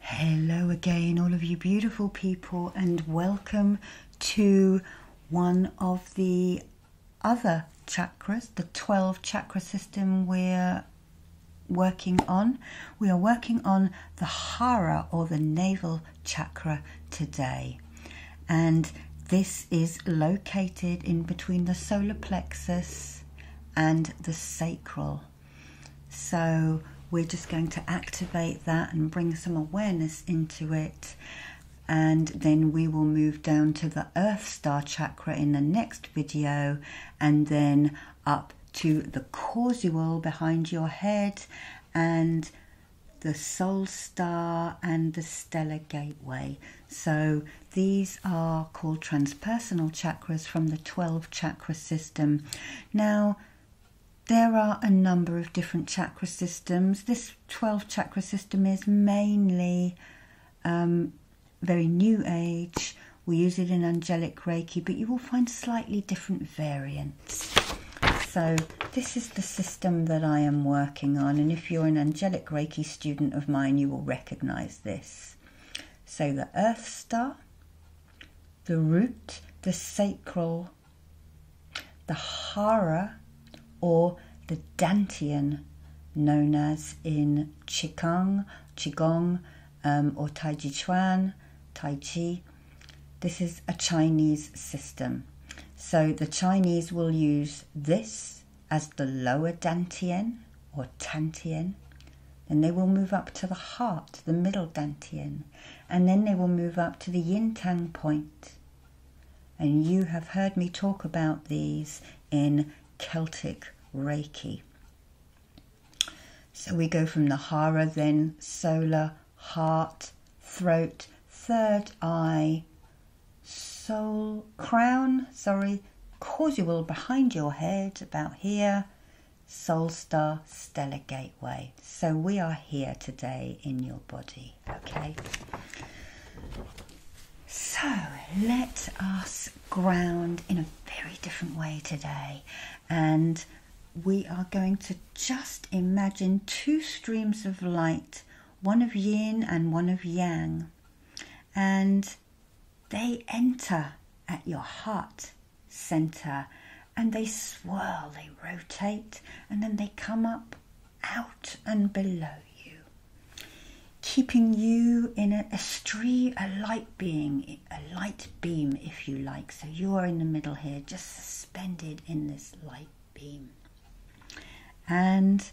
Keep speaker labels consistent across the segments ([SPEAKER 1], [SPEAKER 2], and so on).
[SPEAKER 1] Hello again, all of you beautiful people, and welcome to one of the other chakras, the 12 chakra system we're working on. We are working on the Hara or the navel chakra today, and this is located in between the solar plexus and the sacral so we're just going to activate that and bring some awareness into it. And then we will move down to the Earth Star Chakra in the next video and then up to the causal behind your head and the soul star and the stellar gateway. So these are called transpersonal chakras from the 12 chakra system. Now, there are a number of different chakra systems. This 12 chakra system is mainly um, very new age. We use it in angelic Reiki, but you will find slightly different variants. So, this is the system that I am working on, and if you're an angelic Reiki student of mine, you will recognize this. So, the Earth Star, the root, the sacral, the hara, or the dantian, known as in Qigong, Qigong, um, or Tai Chuan, Tai Chi. This is a Chinese system. So the Chinese will use this as the lower dantian, or tantian. Then they will move up to the heart, the middle dantian, and then they will move up to the yintang point. And you have heard me talk about these in Celtic Reiki. So we go from the hara, then solar, heart, throat, third eye, soul, crown, sorry, causal behind your head, about here, Soulstar Stellar Gateway. So we are here today in your body, okay? So let us ground in a very different way today. And we are going to just imagine two streams of light, one of yin and one of yang. And they enter at your heart center, and they swirl, they rotate, and then they come up, out, and below you, keeping you in a, a stream, a light being, a light beam, if you like. So you are in the middle here, just suspended in this light beam. And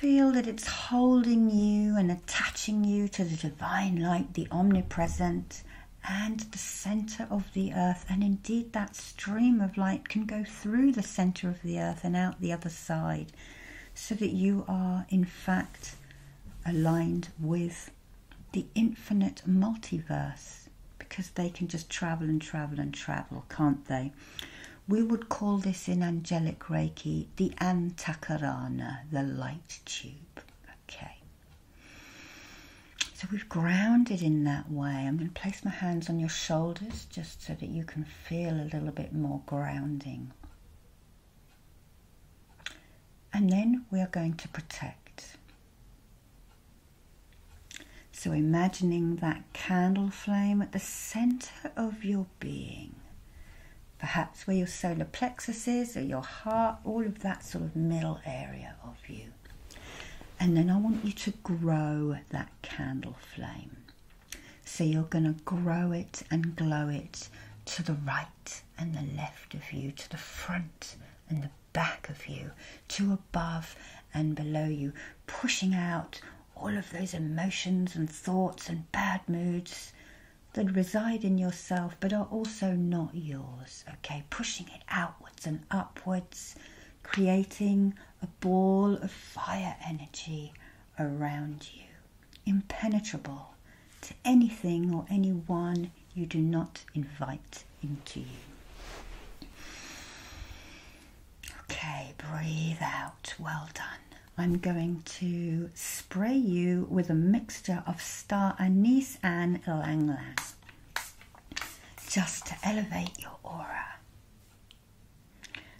[SPEAKER 1] Feel that it's holding you and attaching you to the divine light, the omnipresent, and the center of the earth. And indeed, that stream of light can go through the center of the earth and out the other side, so that you are, in fact, aligned with the infinite multiverse because they can just travel and travel and travel, can't they? We would call this in angelic Reiki the antakarana, the light tube. Okay. So we've grounded in that way. I'm going to place my hands on your shoulders just so that you can feel a little bit more grounding. And then we are going to protect. So imagining that candle flame at the center of your being. Perhaps where your solar plexus is or your heart, all of that sort of middle area of you. And then I want you to grow that candle flame. So you're going to grow it and glow it to the right and the left of you, to the front and the back of you, to above and below you, pushing out all of those emotions and thoughts and bad moods that reside in yourself but are also not yours. Okay, pushing it outwards and upwards, creating a ball of fire energy around you, impenetrable to anything or anyone you do not invite into you. Okay, breathe out. Well done. I'm going to spray you with a mixture of star anise and lang lang just to elevate your aura.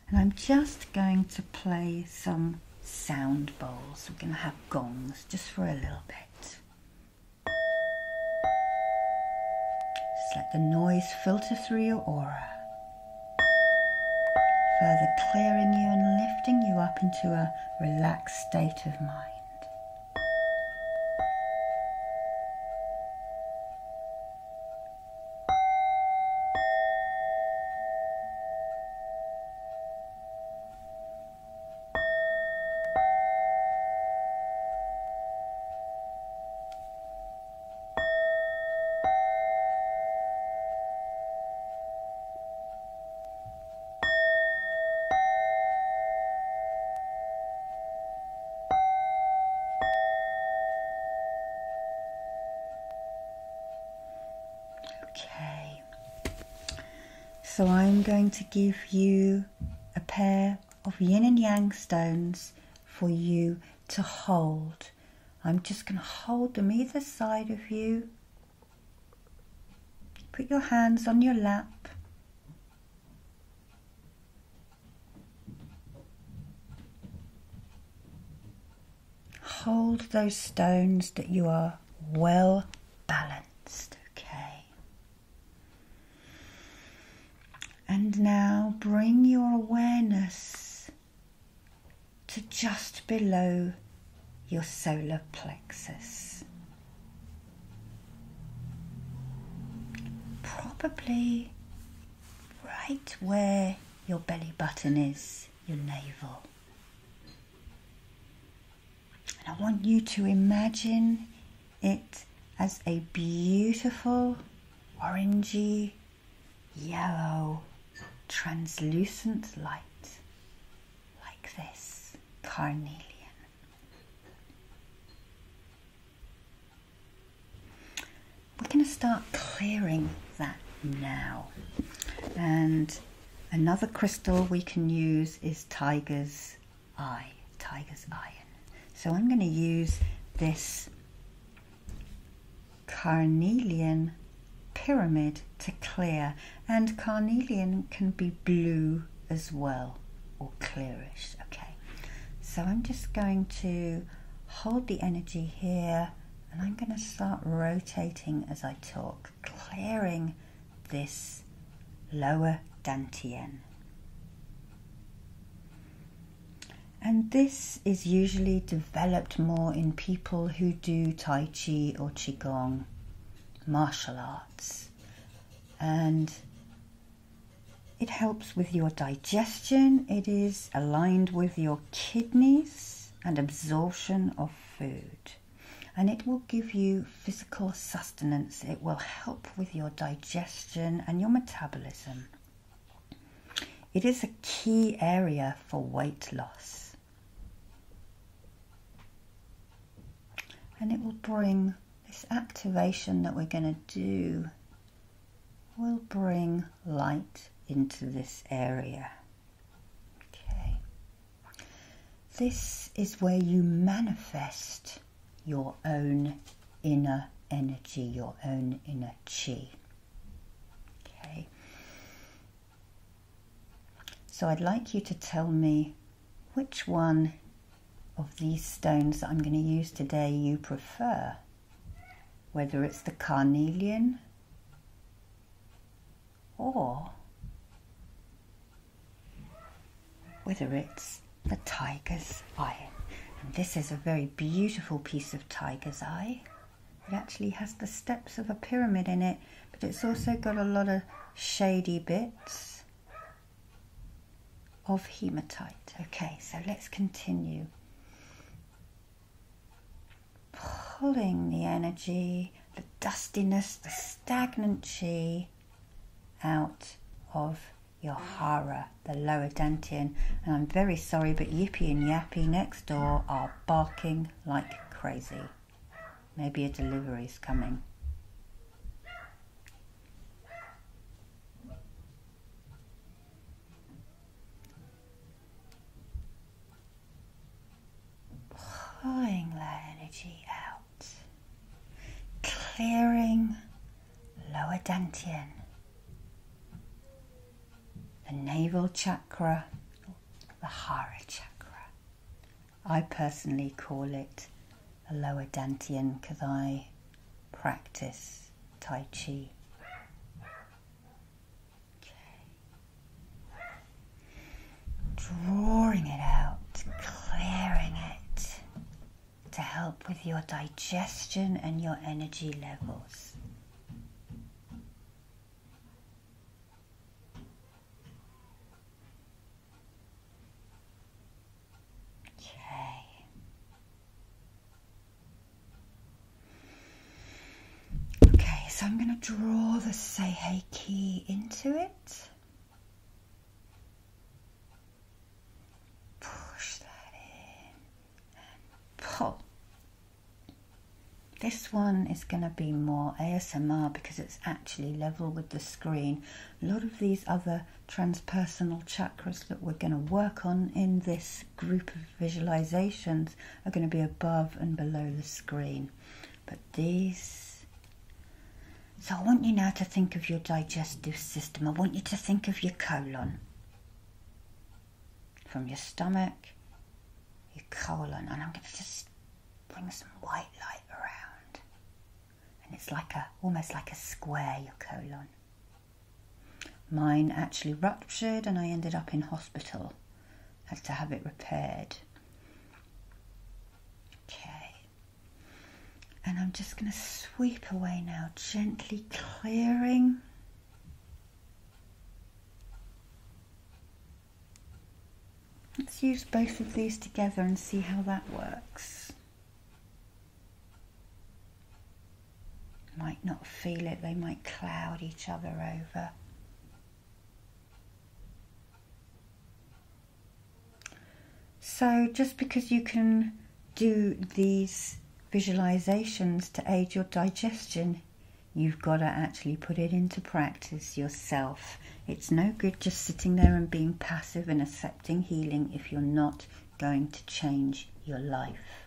[SPEAKER 1] And I'm just going to play some sound bowls. We're going to have gongs just for a little bit. Just let the noise filter through your aura, further clearing you and lifting you up into a relaxed state of mind. Okay, so I'm going to give you a pair of yin and yang stones for you to hold. I'm just going to hold them either side of you Put your hands on your lap. Hold those stones that you are well balanced, okay? And now bring your awareness to just below your solar plexus. Probably right where your belly button is, your navel. And I want you to imagine it as a beautiful orangey, yellow, translucent light like this carnelian. We're going to start clearing that now. And another crystal we can use is tiger's eye, tiger's iron. So I'm going to use this carnelian pyramid to clear, and carnelian can be blue as well or clearish. Okay, so I'm just going to hold the energy here and I'm going to start rotating as I talk, clearing this lower dantian. And this is usually developed more in people who do Tai Chi or Qigong martial arts, and it helps with your digestion, it is aligned with your kidneys and absorption of food. And it will give you physical sustenance. It will help with your digestion and your metabolism. It is a key area for weight loss and it will bring this activation that we're going to do will bring light into this area okay this is where you manifest your own inner energy your own inner chi okay so I'd like you to tell me which one of these stones that I'm going to use today you prefer, whether it's the carnelian or whether it's the tiger's eye. this is a very beautiful piece of tiger's eye. It actually has the steps of a pyramid in it, but it's also got a lot of shady bits of hematite. Okay, so let's continue. Pulling the energy, the dustiness, the stagnancy out of your hara, the lower dantian. And I'm very sorry, but Yippy and Yappy next door are barking like crazy. Maybe a delivery is coming. Pouring that energy out, clearing lower dantian, the navel chakra, the hara chakra, I personally call it a lower Dantian Kadai practice Tai Chi. Drawing it out, clearing it to help with your digestion and your energy levels. Okay. Okay, so I'm going to draw the Seihei key into it. Push that in and pull. This one is going to be more ASMR because it's actually level with the screen. A lot of these other transpersonal chakras that we're going to work on in this group of visualizations are going to be above and below the screen. But these. So I want you now to think of your digestive system. I want you to think of your colon. From your stomach, your colon. And I'm going to just bring some white light around, and it's like a almost like a square your colon. Mine actually ruptured, and I ended up in hospital. Had to have it repaired. Okay, and I'm just going to sweep away now, gently clearing. Let's use both of these together and see how that works. Might not feel it, they might cloud each other over. So just because you can do these visualizations to aid your digestion, you've got to actually put it into practice yourself it's no good just sitting there and being passive and accepting healing if you're not going to change your life.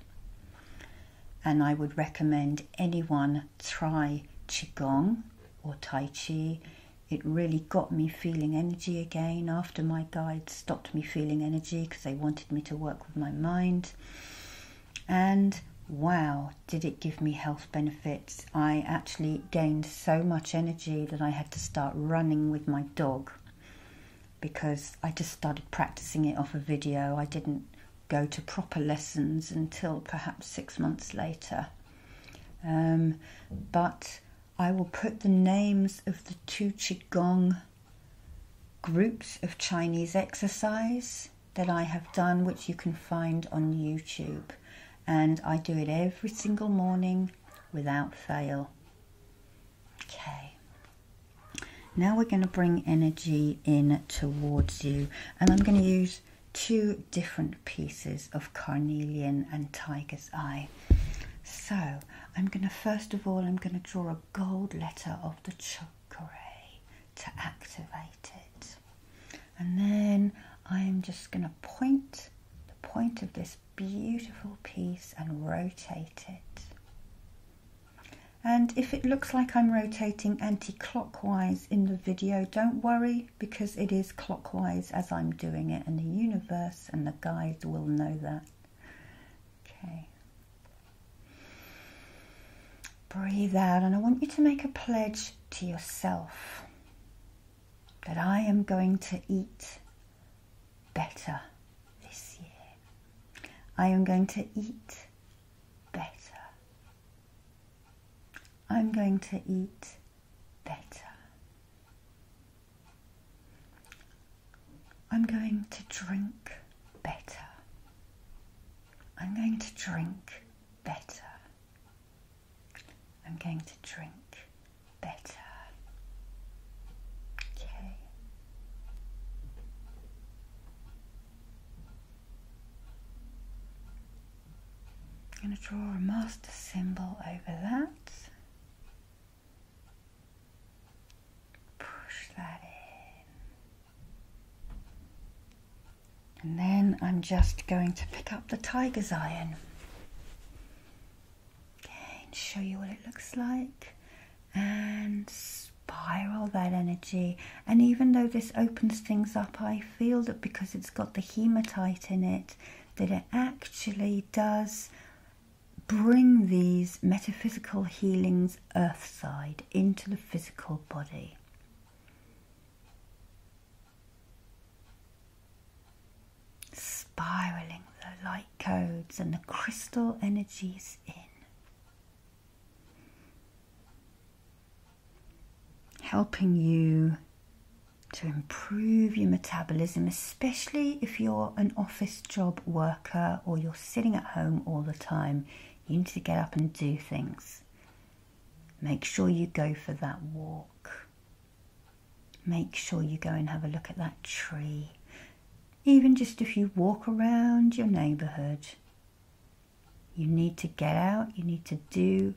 [SPEAKER 1] And I would recommend anyone try Qigong or Tai Chi. It really got me feeling energy again after my guide stopped me feeling energy because they wanted me to work with my mind. And wow, did it give me health benefits. I actually gained so much energy that I had to start running with my dog because I just started practicing it off a video. I didn't go to proper lessons until perhaps six months later. Um, but I will put the names of the two Qigong groups of Chinese exercise that I have done, which you can find on YouTube and I do it every single morning without fail. Okay. Now we're going to bring energy in towards you, and I'm going to use two different pieces of carnelian and tiger's eye. So I'm going to first of all I'm going to draw a gold letter of the chakra to activate it and then I'm just going to point the point of this beautiful piece and rotate it. And if it looks like I'm rotating anti-clockwise in the video, don't worry because it is clockwise as I'm doing it in the universe and the guides will know that. Okay. Breathe out and I want you to make a pledge to yourself that I am going to eat better this year. I am going to eat better. I'm going to eat better. I'm going to drink better. I'm going to drink better. I'm going to drink better. Okay. I'm going to draw a master symbol over that. Push that in. And then I'm just going to pick up the tiger's iron. Okay, and show you what it looks like. And spiral that energy. And even though this opens things up, I feel that because it's got the hematite in it, that it actually does bring these metaphysical healings earthside into the physical body spiraling the light codes and the crystal energies in. Helping you to improve your metabolism, especially if you're an office job worker or you're sitting at home all the time. You need to get up and do things. Make sure you go for that walk. Make sure you go and have a look at that tree, even just if you walk around your neighbourhood. You need to get out, you need to do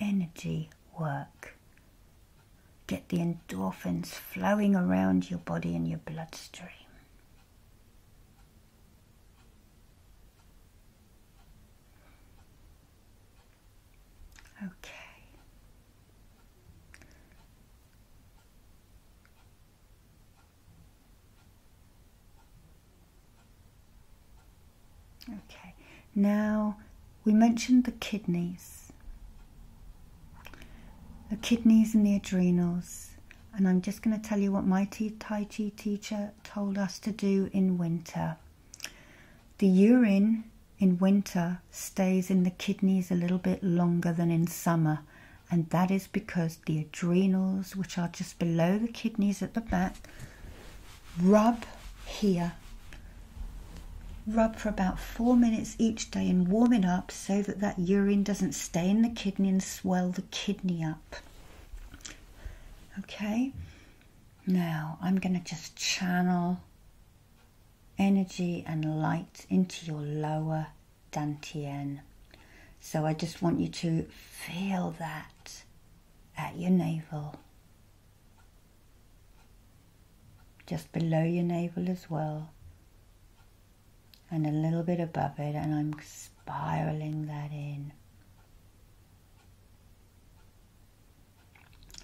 [SPEAKER 1] energy work. Get the endorphins flowing around your body and your bloodstream. Okay. Okay, now we mentioned the kidneys, the kidneys and the adrenals, and I'm just going to tell you what my Tai Chi teacher told us to do in winter. The urine in winter stays in the kidneys a little bit longer than in summer, and that is because the adrenals, which are just below the kidneys at the back, rub here. Rub for about four minutes each day and warm it up so that that urine doesn't stay in the kidney and swell the kidney up. Okay, now I'm going to just channel energy and light into your lower dantien. So I just want you to feel that at your navel. Just below your navel as well. And a little bit above it, and I'm spiraling that in.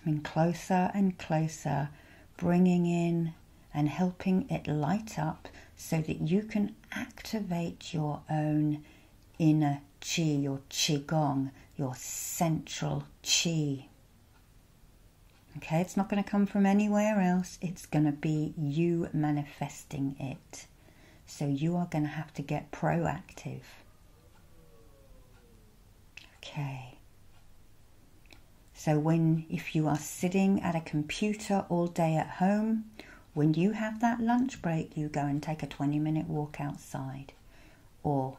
[SPEAKER 1] I mean, closer and closer, bringing in and helping it light up so that you can activate your own inner chi, your qigong, your central chi. Okay, it's not going to come from anywhere else, it's going to be you manifesting it. So you are going to have to get proactive. Okay. So, when if you are sitting at a computer all day at home, when you have that lunch break, you go and take a 20 minute walk outside or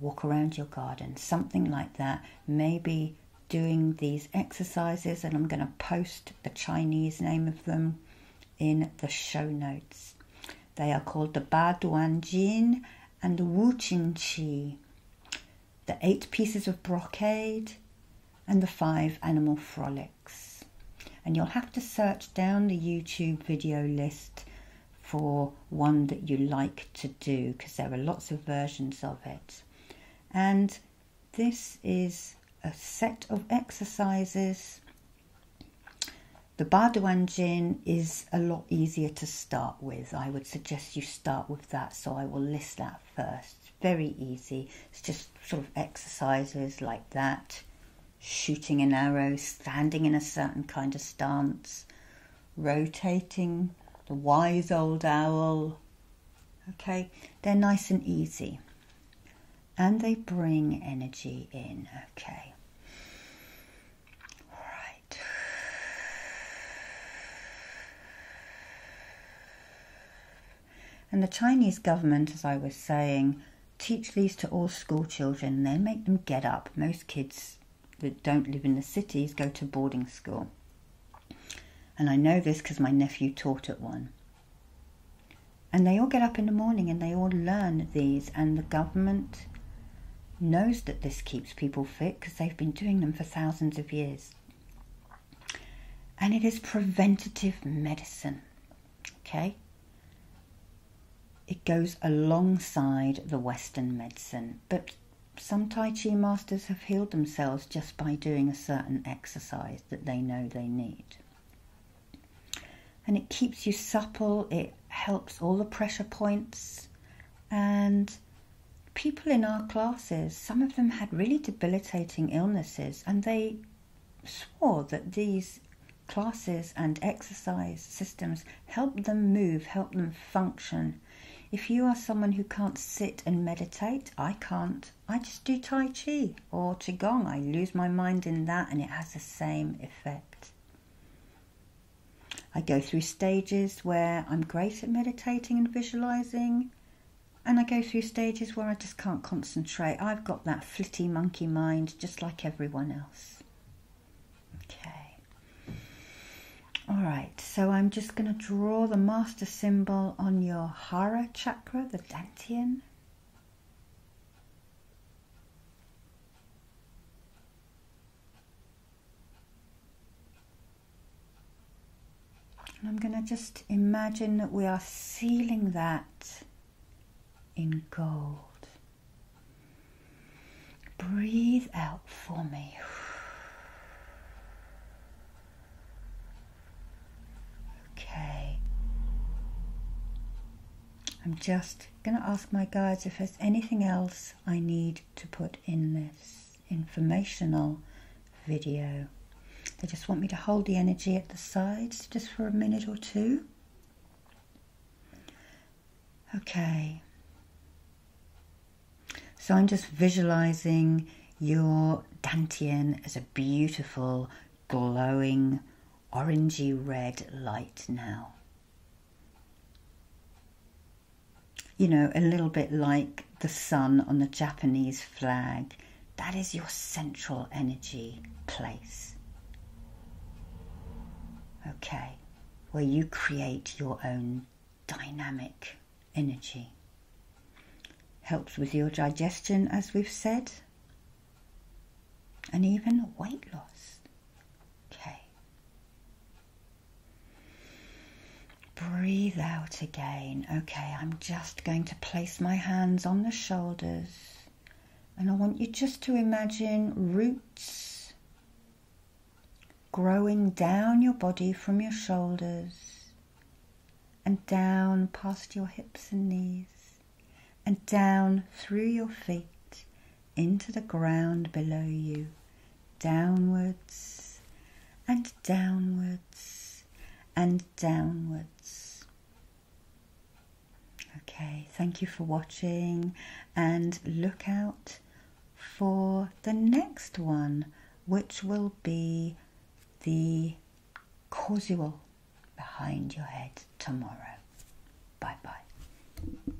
[SPEAKER 1] walk around your garden, something like that. Maybe doing these exercises, and I'm going to post the Chinese name of them in the show notes. They are called the Ba Duan Jin and the Wu Qin Qi, the eight pieces of brocade, and the five animal frolics. And you'll have to search down the YouTube video list for one that you like to do because there are lots of versions of it. And this is a set of exercises the Barduan gin is a lot easier to start with. I would suggest you start with that, so I will list that first. very easy. It's just sort of exercises like that shooting an arrow, standing in a certain kind of stance, rotating the wise old owl. Okay, they're nice and easy and they bring energy in. Okay. And the Chinese government, as I was saying, teach these to all school children. They make them get up. Most kids that don't live in the cities go to boarding school. And I know this because my nephew taught at one. And they all get up in the morning and they all learn these, and the government knows that this keeps people fit because they've been doing them for thousands of years. And it is preventative medicine, okay? It goes alongside the Western medicine, but some Tai Chi masters have healed themselves just by doing a certain exercise that they know they need and it keeps you supple, it helps all the pressure points. And people in our classes, some of them had really debilitating illnesses, and they swore that these classes and exercise systems help them move, help them function. If you are someone who can't sit and meditate, I can't. I just do Tai Chi or Qigong. I lose my mind in that and it has the same effect. I go through stages where I'm great at meditating and visualizing, and I go through stages where I just can't concentrate. I've got that flitty monkey mind just like everyone else. Okay. All right, so I'm just going to draw the master symbol on your Hara chakra, the Dantian. And I'm going to just imagine that we are sealing that in gold. Breathe out for me. Okay. I'm just going to ask my guides if there's anything else I need to put in this informational video. They just want me to hold the energy at the sides just for a minute or two. Okay. So I'm just visualizing your Dantian as a beautiful, glowing, orangey red light now. You know, a little bit like the sun on the Japanese flag, that is your central energy place. Okay, where you create your own dynamic energy. Helps with your digestion, as we've said, and even weight loss. Okay. Breathe out again. Okay, I'm just going to place my hands on the shoulders and I want you just to imagine roots growing down your body from your shoulders and down past your hips and knees and down through your feet into the ground below you, downwards and downwards and downwards. Okay, thank you for watching and look out for the next one, which will be the causal behind your head tomorrow. Bye bye.